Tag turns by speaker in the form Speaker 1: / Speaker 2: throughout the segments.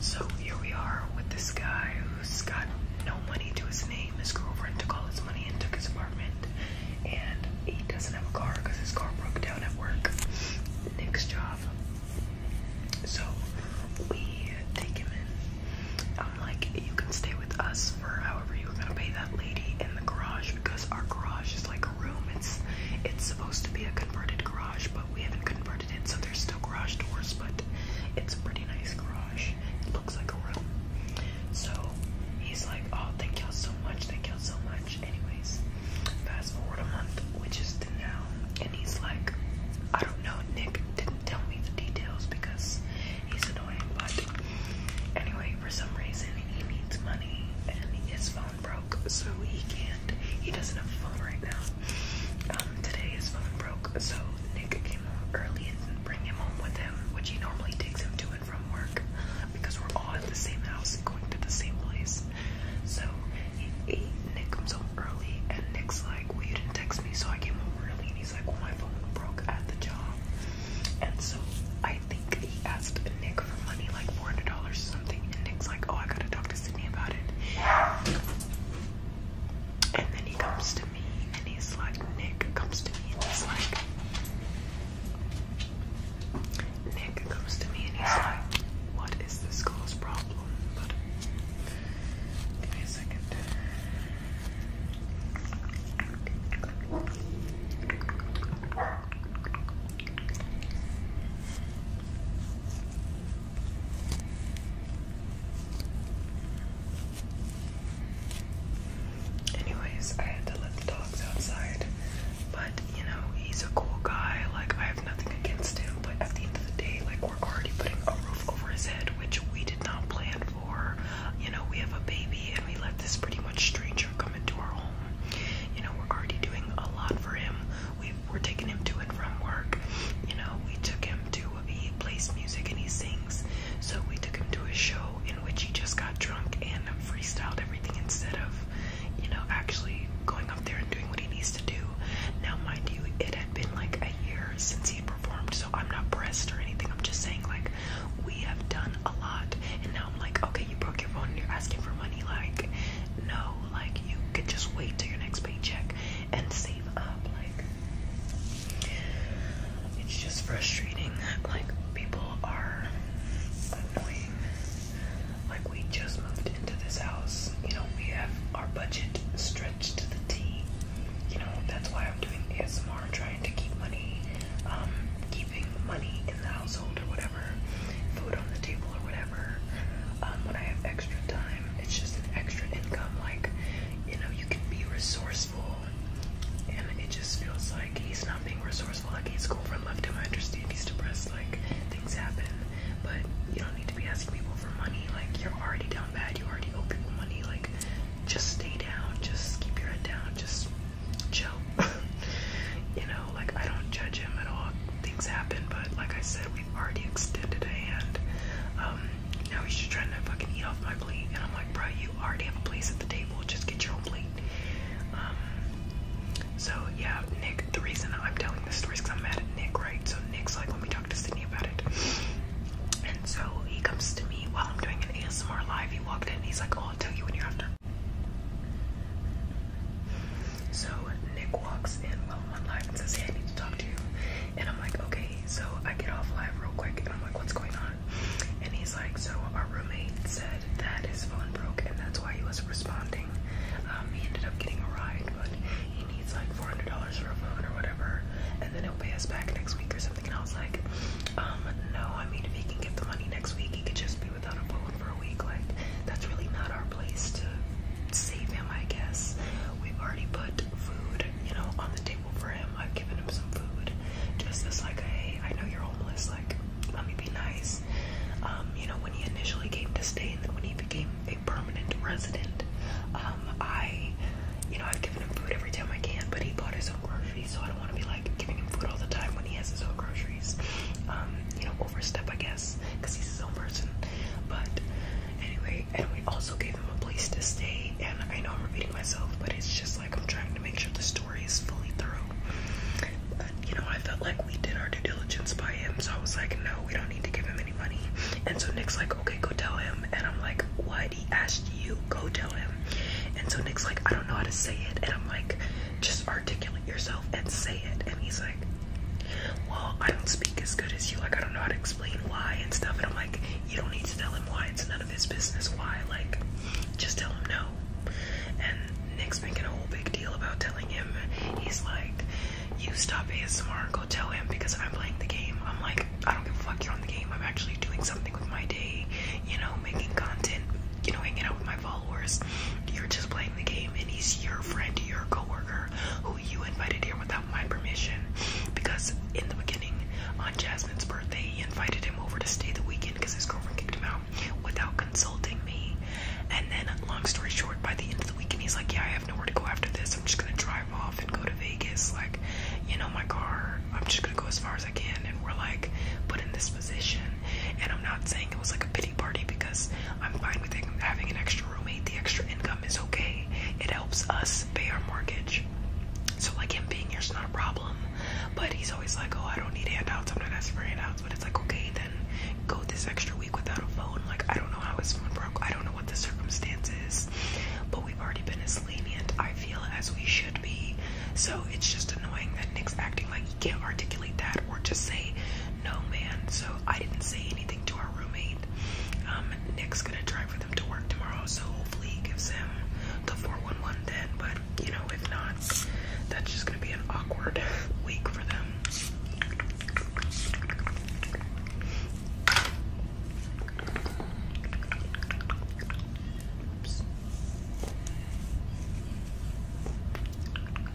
Speaker 1: So here we are with this guy who's got no money to his name. His girlfriend took all his money and took his apartment. And he doesn't have a car because his car broke down at work. Next job. So we take him in. I'm like, you can stay with us for however you're gonna pay that lady in the garage because our garage is like room. It's it's supposed to be a converted garage, but we haven't converted it, so there's still garage doors, but it's a pretty nice garage. It looks like a room. So he's like, Oh, thank y'all so much, thank y'all so much. Anyways, fast forward a month, which is to now, and he's like, I don't know, Nick didn't tell me the details because he's annoying, but anyway, for some reason he needs money and his broke, so he can't. He doesn't have a phone right now. Um, today his phone broke, so Nick came home early and bring him home with him, which he normally takes him to and from work because we're all at the same house, going to the same place. So he, he, Nick comes home early, and Nick's like, "Well, you didn't text me, so I came home early." And he's like, "Well, my phone broke at the job," and so I I think he asked Nick for money, like four hundred dollars or something, and Nick's like, "Oh, I gotta talk to Sydney about it." And then he comes to me, and he's like, "Nick comes to me, and he's like." Nick comes to me and he's like, What is this girl's problem? But give me a second. Anyways, I had to let the dogs outside, but you know, he's a cool guy, like, I have nothing against him, but at the end of the day, like, we're already putting a roof over his head, which we did not plan for. You know, we have a baby, and we let this pretty much stranger come into our home home. You know, we're already doing a lot for him. We we're taking him to and from work. You know, we took him to he plays music and he sings. So we took him to a show in which he just got drunk and freestyled everything instead of, you know, actually going up there and doing what he needs to do. Now, mind you, it had been like a year since he performed, so I'm not pressed or anything. I'm just saying, like, we have done a lot, and now I'm like, okay, you broke your phone and you're asking for money. Like, no, like you could just wait till your next paycheck and save up. Like, it's just frustrating. Like, people are annoying. Like, we just moved into this house. You know, we have our budget stretched to the T. You know, that's why I'm doing ASMR, trying to keep money, um, keeping money in the household or whatever whatever, food on the table or whatever. Um, when I have extra time, it's just an extra income. Like, you know, you can be resourceful, and it just feels like he's not being resourceful. Like, he's cool from left him. I understand he's depressed. Like, things happen, but you don't need to be asking people for money. Like, you're already down bad. You already owe people money. Like, just stay down. Just keep your head down. Just chill. you know, like I don't judge him at all. Things happen, but like I said, we've already extended a hand. Um, now he's just trying to fucking eat off my plate, and I'm like, bro, you already have a place at the table. Just get your own plate. Um, so yeah, Nick. The reason I'm telling this story is because I'm mad at Nick, right? So Nick's like, let me talk to Sydney about it. And so he comes to me while I'm doing an ASMR live. He walked in and he's like, Oh, I'll tell you when you're after so Nick walks in while I'm on live and says, Hey, I need to talk to you. And I'm like, Okay. So I get off live real quick and I'm like, What's going on? And he's like, So our roommate said that his phone broke and that's why he wasn't responding. Um, he ended up getting a ride, but he needs like $400 for a phone or whatever. And then he'll pay us back next week or something. And I was like, um, No, I mean, if he can get the money next week, he could just be without a phone for a week. Like, that's really not our place to save him, I guess. We've already put food, you know, on the table for him. I've given him some food. Just as, like, hey, I know you're homeless. Like, let me be nice. Um, you know, when he initially came to stay and then when he became a permanent resident, um, I, you know, I've given him food every time I can, but he bought his own groceries, so I don't want to be like giving him food all the time when he has his own groceries. Um, you know, overstep, I guess, because he's his own person. But anyway, and we also gave him a place to stay. And I know I'm repeating myself, but it's just like I'm trying to make sure the story is fully through. But you know, I felt like we did our due diligence by him, so I was like, no, we don't need to give him any money. And so Nick's like, okay, go tell him. And I'm like, what? He asked you, go tell him. And so Nick's like, I don't know how to say it. And I'm like, just articulate yourself and say it. And he's like well, I don't speak as good as you. Like, I don't know how to explain why and stuff. And I'm like, you don't need to tell him why. It's none of his business why. Like, just tell him no. And Nick's making a whole big deal about telling him. He's like, you stop being ASMR and go tell him because I'm playing the game. I'm like, I don't give a fuck. You're on the game. I'm actually doing something with my day. You know, making content. You know, hanging out with my followers. You're just playing the game, and he's your friend, your coworker, who you invited here without my permission. Because in the beginning, on Jasmine's birthday, he invited him over to stay the weekend because his girlfriend kicked him out without consulting me. And then, long story short, by the end of the weekend, he's like, "Yeah, I have nowhere to go after this. I'm just gonna drive off and go to Vegas. Like, you know, my car. I'm just gonna go as far as I can." And we're like, put in this position. And I'm not saying it was like a pity party because I'm fine with having an extra roommate. The extra income is okay. It helps us pay our mortgage. So like him being here's not a problem. But he's always like, oh, I don't need handouts. I'm not asking for handouts. But it's like, okay, then go this extra week without a phone. Like I don't know how his phone broke. I don't know what the circumstance is. But we've already been as lenient. I feel as we should be. So it's just annoying that Nick's acting like he can't articulate that or just say no man. So I didn't say anything to our roommate. Um, Nick's gonna drive with him to work tomorrow, so hopefully he gives him the 411 then. But you know, if not, that's just gonna be an awkward week for them. Oops.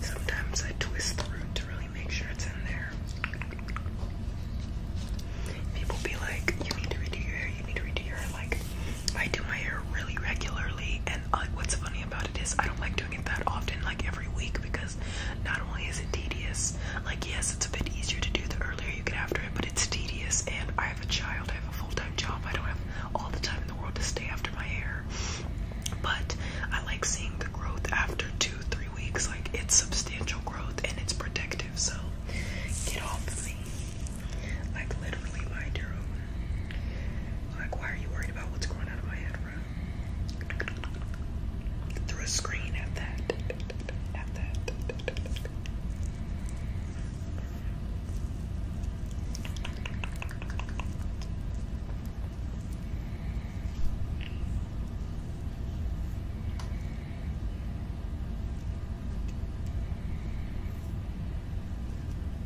Speaker 1: Sometimes I twist the root to really make sure it's in there. People be like, you need to redo your hair, you need to redo your Like, I do my hair really regularly, and uh, what's funny about it is I don't like doing it that often, like every week, because not only is it tedious, like yes, it's a bit easier to do the earlier you get after it, but it's tedious, and I have a child, I have a full-time job, I don't have all the time in the world to stay after my hair. But I like seeing the growth after two, three weeks, like it's substantial growth and it's protective, so get off of me. Like literally mind your Like why are you worried about what's going on in my head, Through a screen at that. At that.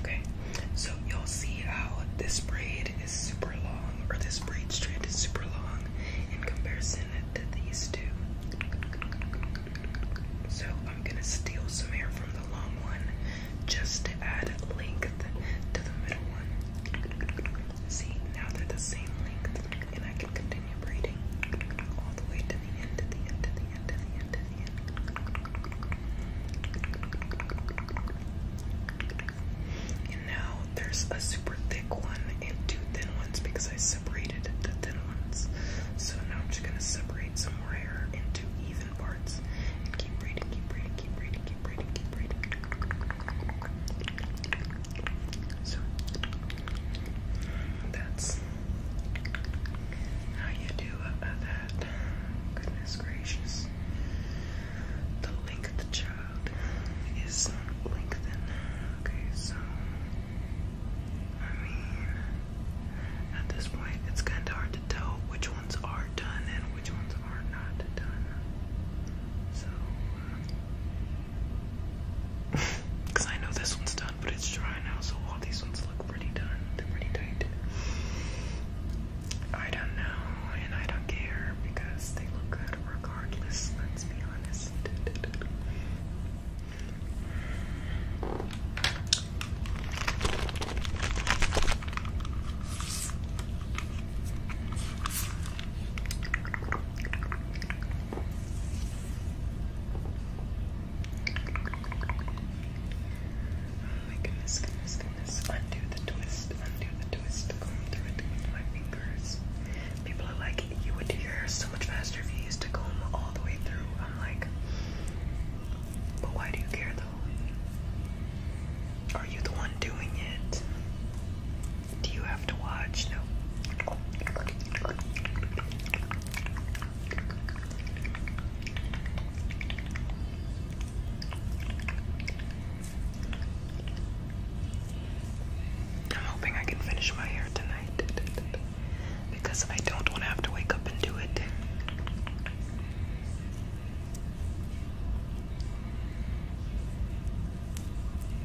Speaker 1: Okay, so you'll see how this braid is super long, or this braid strand is super long in comparison to these two. So I'm gonna steal some hair from the long one just to add length to the middle one. See, now they're the same length, and I can continue braiding all the way to the end, to the end, to the end, to the end, And now there's a super thick one and two thin ones because I separated the thin ones. So now I'm just gonna separate some more hair into even parts and keep braiding, keep braiding, keep reading, keep reading, keep reading. So that's how you do uh, that. Goodness gracious. The length of the child is lengthened. Okay, so I mean at this point it's kinda hard to tell which ones are done and which ones are not done. So because I know this one's done, but it's dry now, so all these ones look pretty done. They're pretty tight. I don't know, and I don't care because they look good regardless, let's be honest. Oh my goodness, Undo the twist, undo the twist, comb through it with my fingers. People are like, you would do your hair so much faster if you used to comb all the way through. I'm like, but why do you care though? Are you the one doing it? Do you have to watch? No. I'm hoping I can finish my hair tonight because I don't want to have to wake up and do it.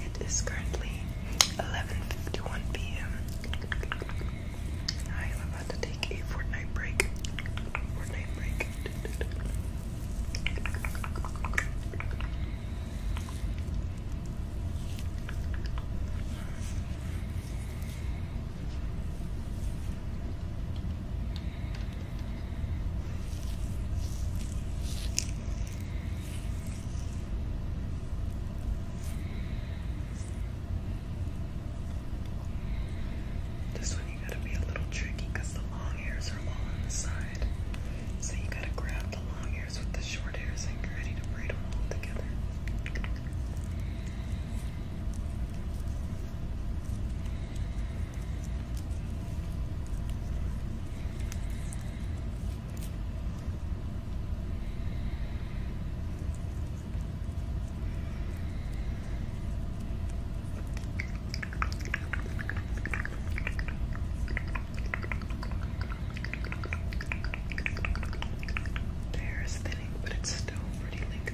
Speaker 1: It is currently 11:51 p.m. I am about to take a fortnight Fortnight break. This one you gotta be a little tricky because the long hairs are all on the side. So you gotta grab the long hairs with the short hairs and get ready to braid them all together. Hair is thinning, but it's still pretty lengthy.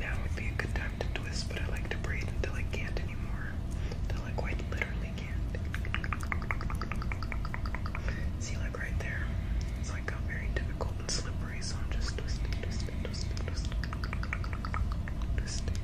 Speaker 1: Now would be a good time to twist, but I like to braid until I can't anymore. Until I quite literally can't. See, like right there, it's like very difficult and slippery, so I'm just twisting, twisting, twisting, twisting, twisting.